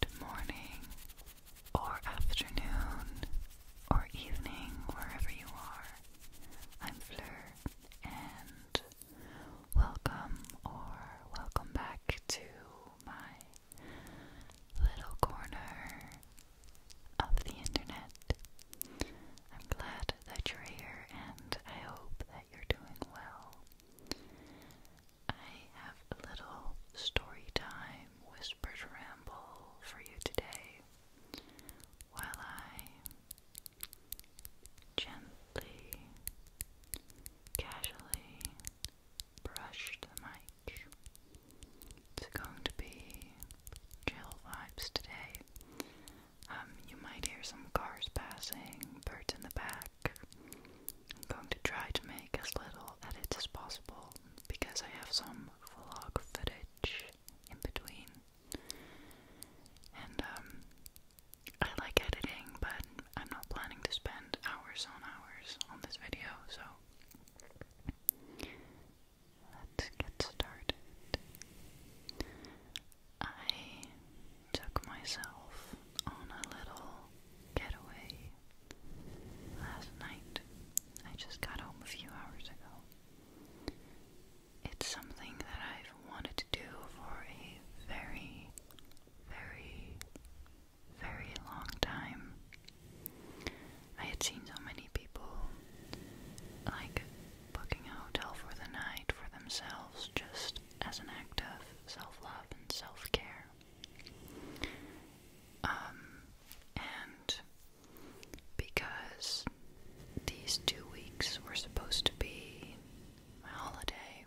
Good morning, or afternoon, or evening, wherever you are. I'm Fleur, and welcome or welcome back to my little corner of the internet. I'm glad that you're here, and I hope that you're doing well. I have a little story time whispered ramble for you today while I gently, casually brush the mic. It's going to be chill vibes today. Um, you might hear some cars passing, birds in the back, I'm going to try to make as little edits as possible because I have some vlog footage in between. And um, I like editing, but I'm not planning to spend hours on hours on this video, so let's get started. I took myself on a little getaway last night. I just got home a few hours ago. It's something that I've wanted to do for a very, very, very long time. I had seen so many people like booking a hotel for the night for themselves just as an act of self-love and self-care. Um, and because these two weeks were supposed to be my holiday,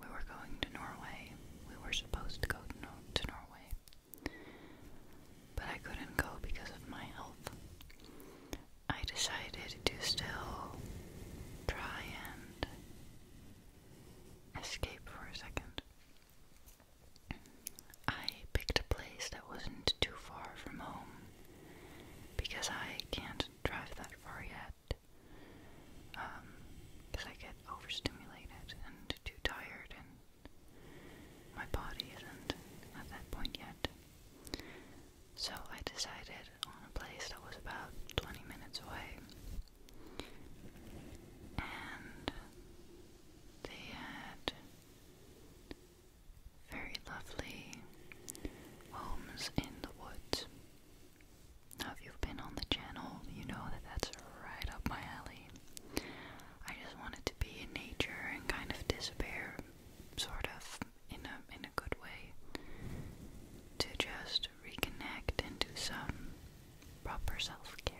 we were going to Norway. We were supposed to go to, to Norway. But I couldn't go because of my health. I decided to still try escape for a second. I picked a place that wasn't too far from home because I can't drive that far yet. because um, I get overstimulated and too tired, and my body isn't at that point yet. So I decided on a place that was about 20 minutes away. And they had very lovely homes in the woods. Now, if you've been on the channel, you know that that's right up my alley. I just wanted to be in nature and kind of disappear, sort of, in a in good way to just reconnect and do some proper self care.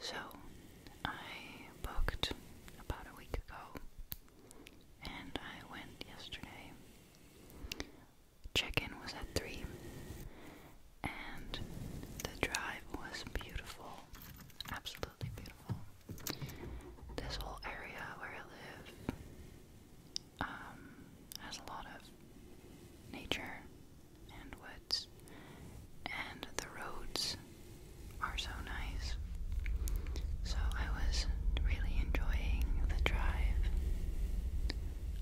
So, I booked about a week ago and I went yesterday. Check in was at 3 and the drive was beautiful, absolutely beautiful. This whole area where I live um, has a lot of nature and woods, and the roads are so nice. So I was really enjoying the drive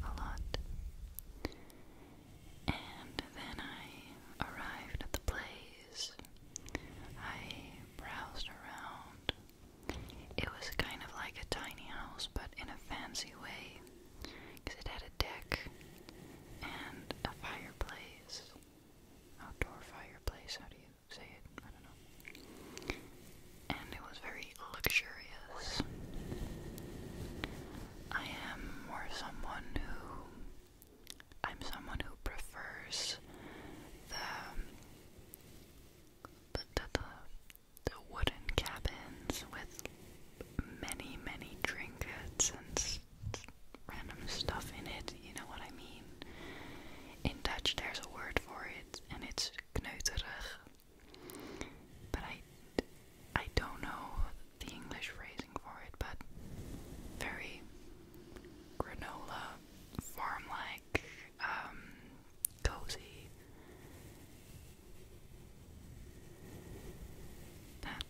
a lot. And then I arrived at the place. I browsed around it was kind of like a tiny house, but in a fancy way, because it had a deck and a fireplace. Outdoor fireplace, how do you say it? I don't know. And it was very luxurious. I am more someone who. I'm someone who prefers the the, wooden cabins with many, many trinkets and random stuff in it, you know what I mean? In Dutch there's a word for it and it's kneuterig. But I, I don't know the English phrasing for it, but very granola, farm like like um cozy. That.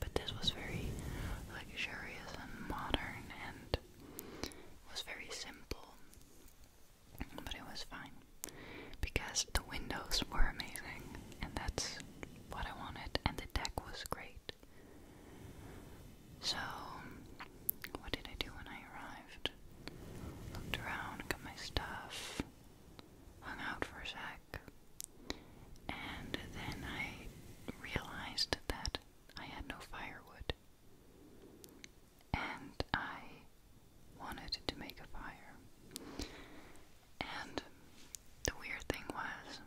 But this was very luxurious and modern and was very simple. But it was fine because the windows were amazing and that's what I wanted and the deck was great. So, what did I do when I arrived? Looked around, got my stuff, hung out for a sec, and then I realized that I had no firewood. And I wanted to make a fire. And the weird thing was,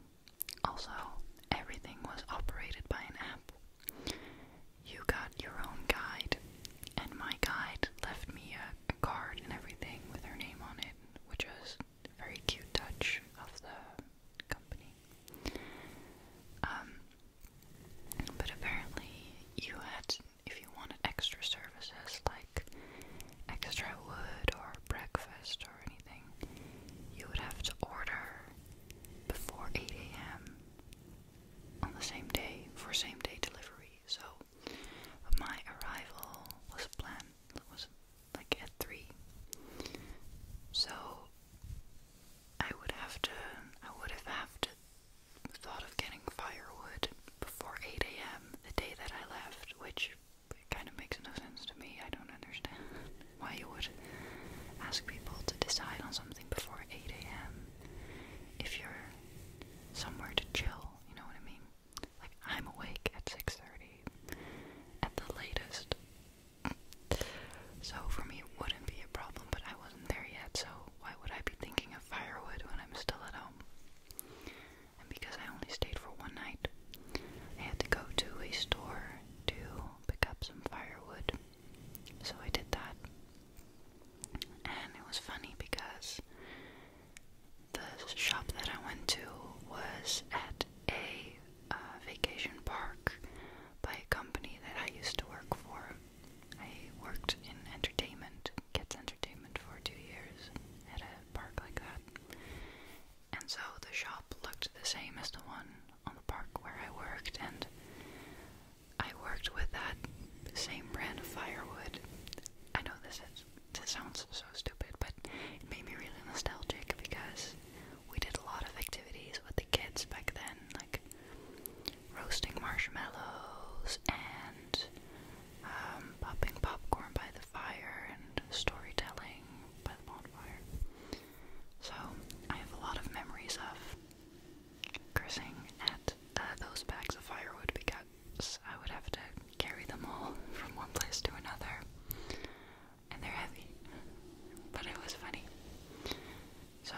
also, everything was operated by an app. You got your own guide, and my guide left me a, a card and everything with her name on it, which was a very cute touch of the company. Um, but apparently, you had, if you wanted extra services like extra wood or breakfast or anything, you would have to order before 8 a.m. on the same day for same day delivery. So my arrival was planned was like at 3. So I would have to I would have have to thought of getting firewood before 8 a.m. the day that I left, which it kind of makes no sense to me. I don't understand why you would ask people to decide on something before 8 a.m. if you're somewhere to chill, you know what I mean? Like, I'm awake at 6.30 at the latest. So for me, it wouldn't be a problem, but I wasn't there yet, so why would I be thinking of firewood when I'm still at home? And because I only stayed for one night, I had to go to a store to pick up some firewood. So I did that. And it was funny because the shop that I went to was at a uh, vacation park by a company that I used to work for. I worked in entertainment, kids' entertainment, for two years at a park like that. And so the shop looked the same as the one on the park where I worked, and I worked with that same brand of firewood. I know this is this sounds so stupid, but it made me really nostalgic because we did a lot of activities with the kids back then, like roasting marshmallows and um, popping popcorn by the fire and storytelling by the bonfire. So I have a lot of memories of cursing at uh, those bags of firewood because I would have to carry them all from one place to another. And they're heavy. But it was funny. So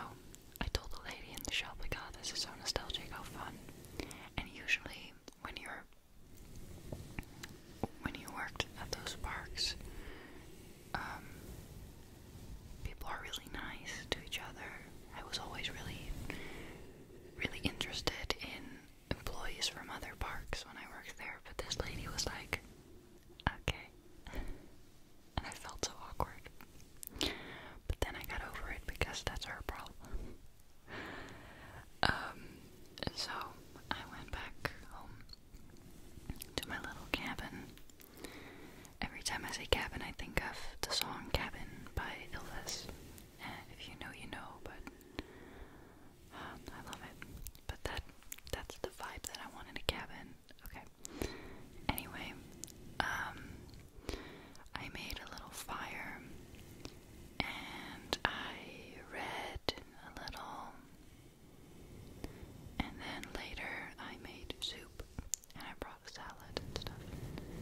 I told the lady in the shop, like, oh, this is so nostalgic, how fun. And usually when you're when you worked at those parks, um, people are really nice to each other. I was always really, really interested in employees from other parks when I worked there, but this lady was like, okay. And I felt so awkward. But then I got over it because that's her problem. Um, so I went back home to my little cabin. Every time I say cabin, I think of the song Cabin by Elvis. if you know, you know, but um, I love it. But that that's the vibe that I want in a cabin. Okay. Anyway, um, I made a little fire and I read a little. And then later I made soup and I brought a salad and stuff.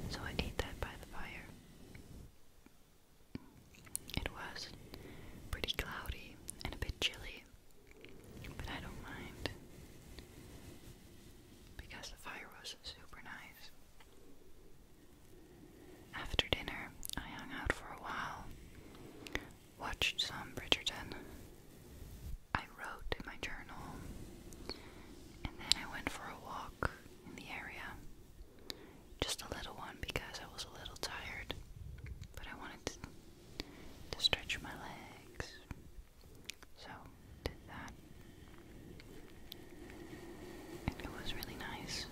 So I ate that by the fire. It was pretty cloudy and a bit chilly, but I don't mind because the fire was super nice. After dinner, I hung out for a while, watched some Bridgerton. I wrote in my journal, and then I went for a walk in the area. Just a little one because I was a little tired, but I wanted to, stretch my legs. So, did that. it was really nice.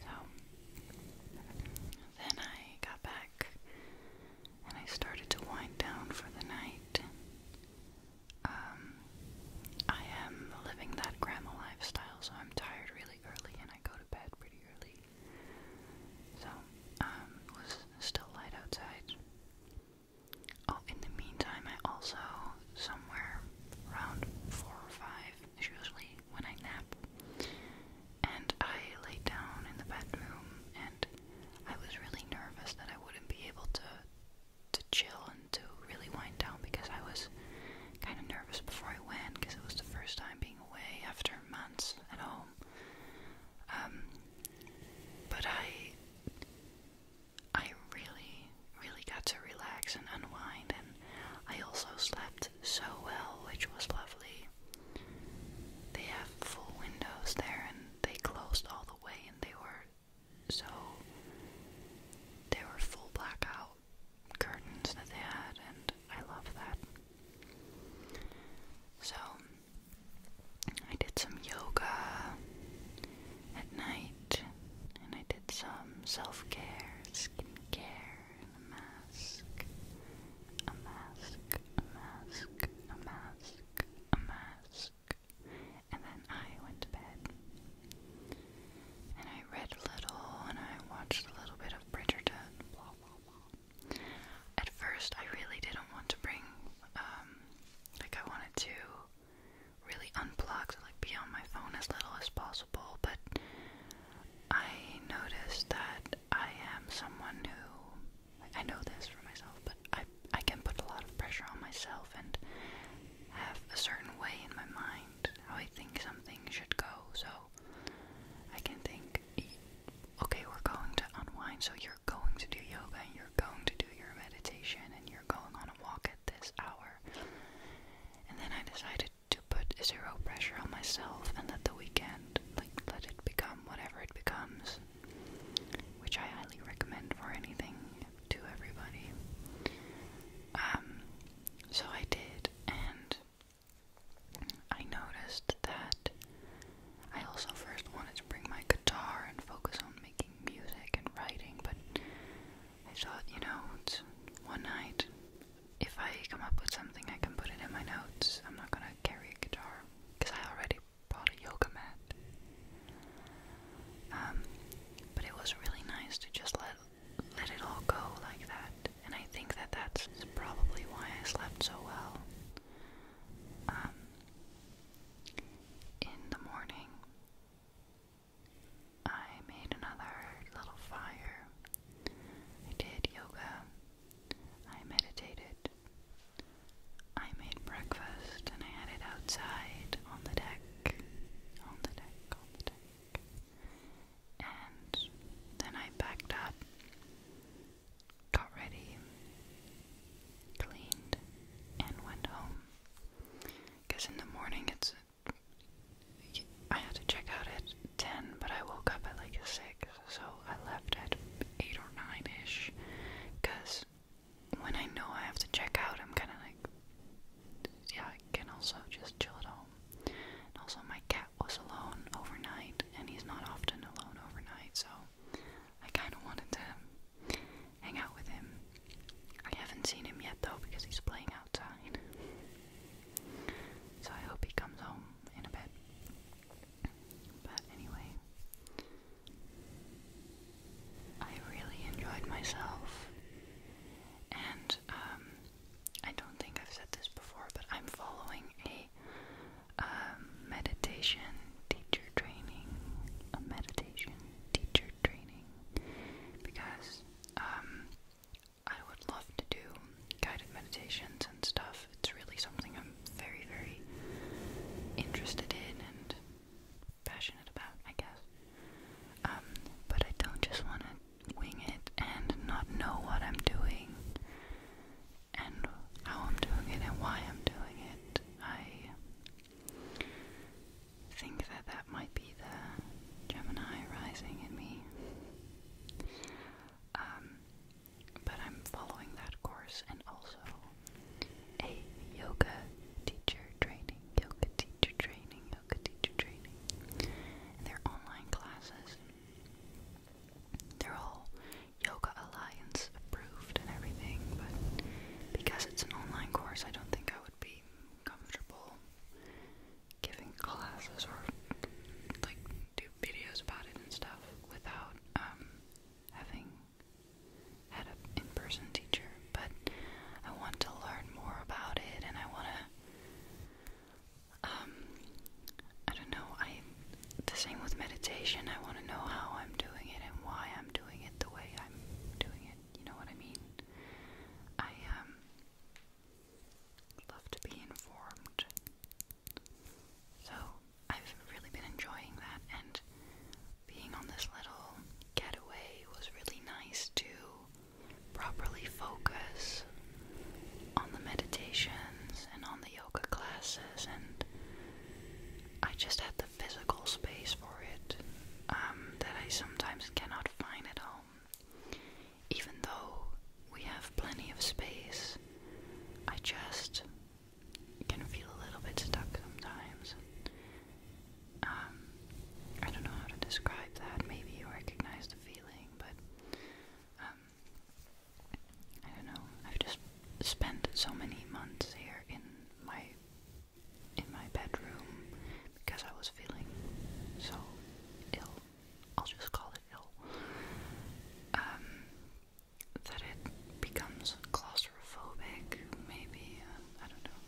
So then I got back and I started to wind down for the night. Um, I am living that grandma lifestyle, so I'm tired really early and I go to bed pretty early. So, it um, was still light outside. Oh, in the meantime, I also, somewhere around 4 or 5, is usually when I nap, and I lay down in the bedroom, and I was really nervous that I wouldn't be able to to chill and to really wind down because I was kind of nervous before I went because it was the first time being away after months at home. Um, but I I really, really got to relax and unwind, and I also slept so well, which was lovely. They have full windows there, and they closed all the way, and they were so they were full blackout curtains that they had, and I love that. So I did some yoga at night, and I did some self care, skin care, and a mask, a mask, a mask, a mask, a mask, and then I went to bed. And I read a little, and I watched a little bit of Bridgerton, At first, I really didn't want to bring, um, like I wanted to really unplugged, like be on my phone as little as possible. But I noticed that I am someone who I know this for myself, but I I can put a lot of pressure on myself and have a certain way in my mind how I think something should go. So I can think, okay, we're going to unwind, so you're you're going to do yoga and you're going to do your meditation and you're going on a walk at this hour. And then I decided to put zero pressure on myself and let the weekend, like, let it become whatever it becomes, which I highly recommend for anything to everybody. Um, so I did, and I noticed that I also first wanted to bring my guitar and focus on making music and writing, but I thought, you know, one night, if I come up with something, I can put it in my notes. I'm not gonna carry a guitar because I already bought a yoga mat. Um, but it was really nice to just let let it all go like that, and I think that that's probably why I slept so well. Um, in the morning, I made another little fire. I did yoga. I meditated. I made breakfast and I had it outside on the deck. On the deck, on the deck. And then I packed up, got ready, cleaned, and went home. Because in the morning it's. I have to check out at 10, but I woke up at like 6, so I left at 8 or 9 ish. Because when I know I have to check out, I'm kind of like, yeah, I can also just chill at home. also, my cat was alone overnight, and he's not often alone overnight, so I kind of wanted to hang out with him. I haven't seen him yet though because he's playing outside. So I hope he comes home in a bit. But anyway, I really enjoyed myself. And um, I don't think I've said this before, but I'm following a um, meditation teacher training, meditation teacher training, because um, I would love to do guided meditations and stuff. It's really something I'm very, very interested in and passionate about, I guess. Um, but I don't just want to wing it and not know what I'm doing and how I'm doing it and why I'm doing it. I think that that might be the Gemini rising in me. Um, but I'm following that course and also a yoga teacher training, yoga teacher training, yoga teacher training. they're online classes. They're all Yoga Alliance approved and everything, but because it's an online course, I don't think I would be comfortable giving classes or like do videos about it and stuff without um, having had an in-person teacher. But I want to learn more about it, and I want to. Um, I don't know. I the same with meditation. I want to know how I'm doing it and why I'm doing it the way I'm doing it. You know what I mean? I um love to be informed. So I've really been enjoying that and being on this little getaway was really nice to properly focus on the meditations and on the yoga classes and I just have the physical space for it um, that I sometimes cannot find at home. Even though we have plenty of space, I just can feel a little bit stuck sometimes. Um, I don't know how to describe that. Maybe you recognize the feeling, but um, I don't know. I've just spent so many months here in my in my bedroom because I was feeling so ill. I'll just call it ill. Um, that it becomes claustrophobic, maybe. Uh, I don't know.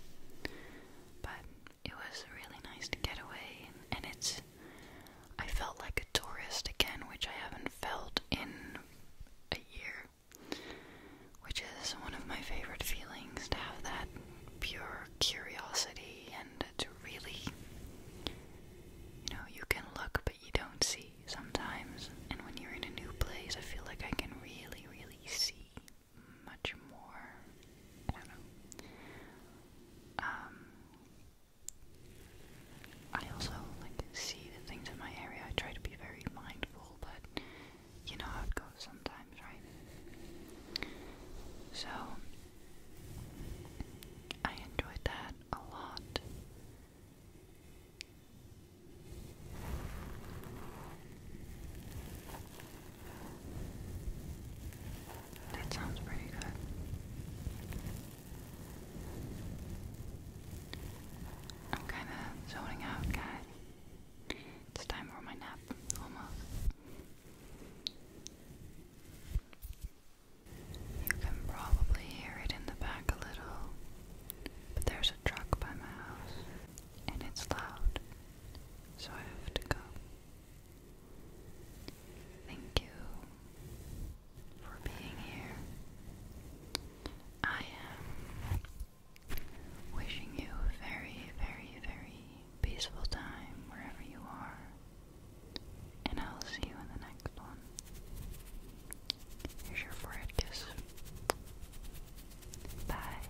But it was really nice to get away, and it's. I felt like a tourist again, which I haven't felt in a year, which is one of my favorite feelings to have that pure curiosity and to really, you know, you can look but you don't see sometimes. And when you're in a new place, I feel like I can really, really see much more. I also like see the things in my area. I try to be very mindful, but you know how it goes sometimes, right? So I enjoyed that a lot. That sounds pretty good. I'm kind of zoning out, guys. It's time for my nap, almost. You can probably hear it in the back a little, but there's a truck by my house, and it's loud, so I have to go. Thank you for being here. I am wishing you a very, very, very peaceful time wherever you are, and I'll see you in the next one. Here's your forehead kiss. Bye.